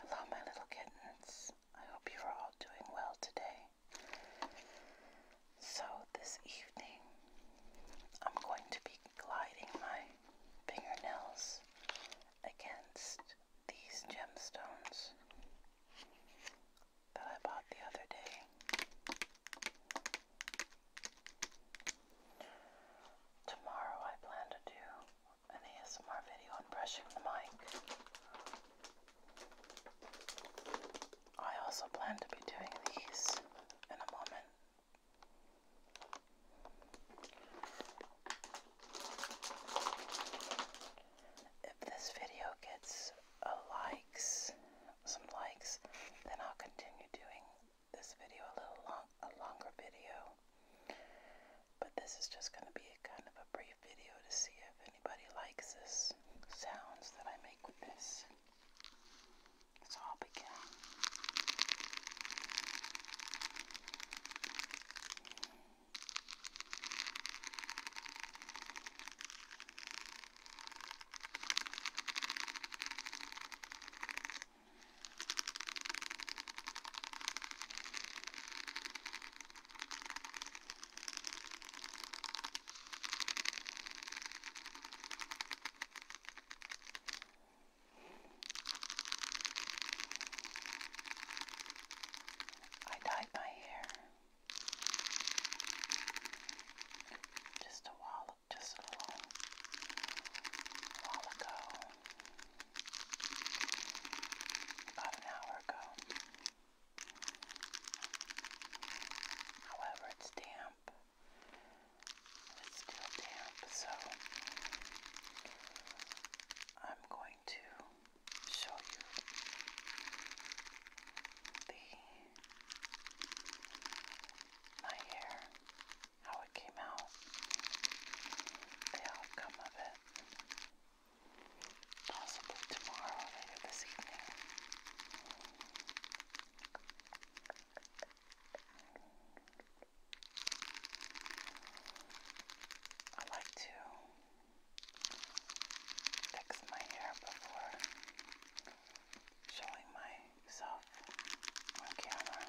Hello, my little kittens. I hope you're all doing well today. So, this evening, I'm going to be gliding my fingernails against these gemstones that I bought the other day. Tomorrow, I plan to do an ASMR video on brushing the mic. I also plan to be doing these in a moment. If this video gets a uh, likes, some likes, then I'll continue doing this video a little long a longer video. But this is just going to be a kind of a brief video to see if anybody likes this sounds that I make with this. So I'll begin. I dyed my hair just a while, just a little while ago about an hour ago. However, it's damp. It's still damp, so I'm going to show you the my hair, how it came out, the outcome of it. Possibly tomorrow or later this evening. I like to fix my hair before showing myself on camera.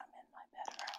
I'm in my bedroom.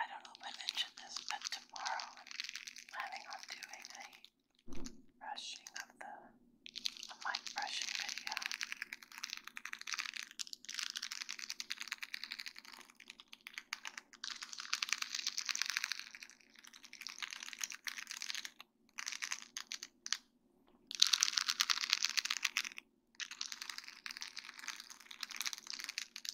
I don't know if I mentioned this, but tomorrow I'm planning on doing a brushing of the a mic brushing video.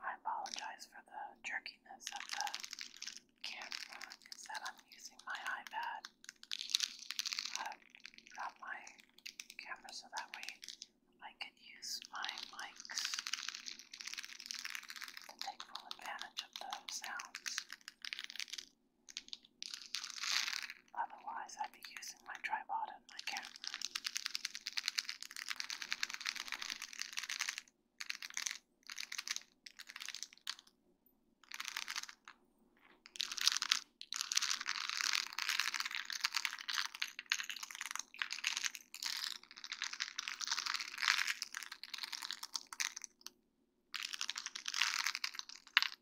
I apologize for the jerkiness of the camera. Is I'm using my iPad uh, on my camera so that way I could use my mics to take full advantage of the sounds. Otherwise, I'd be using my tripod and my camera.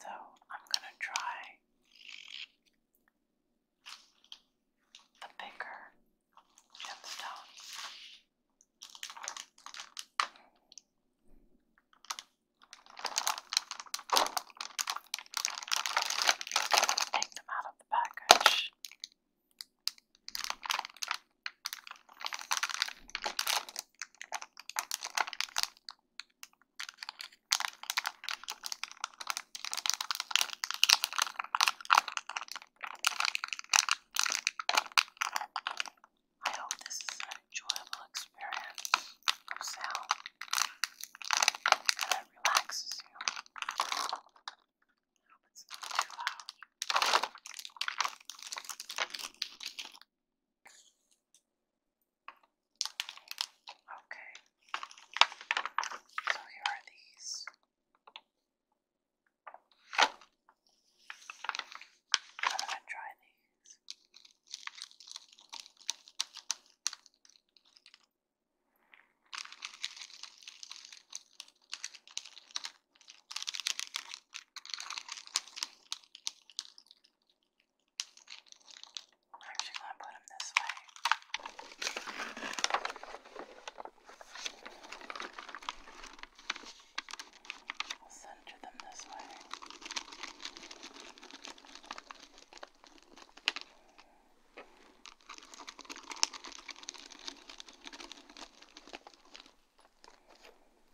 so I'm going to try the bigger gemstone. Take them out of the package. I hope this is an enjoyable experience of sound and it relaxes you. I hope it's not too loud. Okay, so here are these. I'm gonna try these. I'm actually going to put them this way. I'll center them this way. Okay.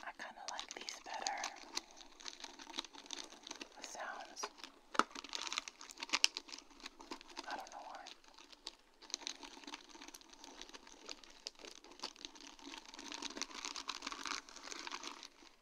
I kind of like these better. The sounds. I don't know why.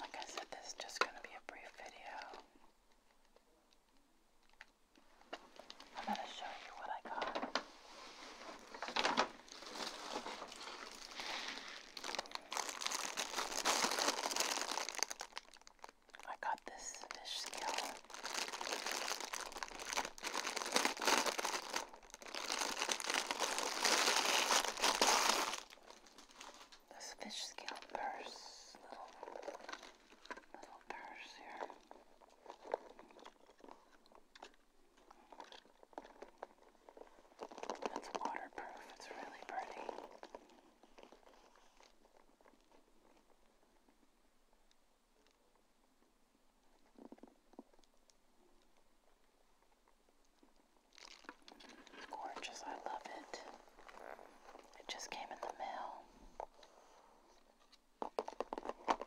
Like I said, this is just going to be a brief video. I'm going to show you what I got. I got this fish scale. This fish scale purse, little, little purse here. It's waterproof, it's really pretty. gorgeous, I love it. It just came in the mail.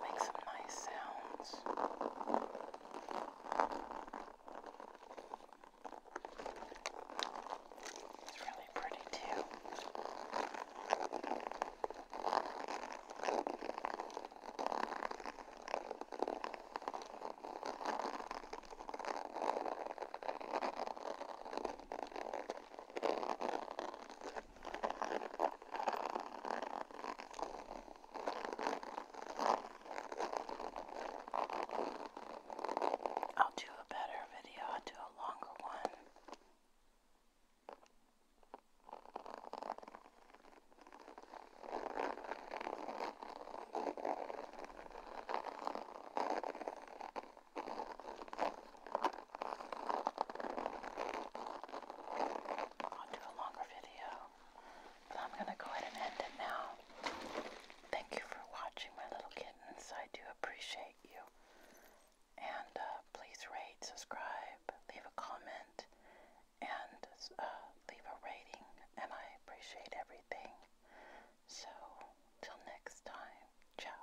Make some nice sounds. It's really pretty too. I'll do a better video, I'll do a longer one. I'll do a longer video, but I'm going to go ahead and end it now. Thank you for watching, my little kittens. I do appreciate you. And uh, please rate, subscribe, leave a comment, and uh, leave a rating. And I appreciate everything. So, till next time, ciao.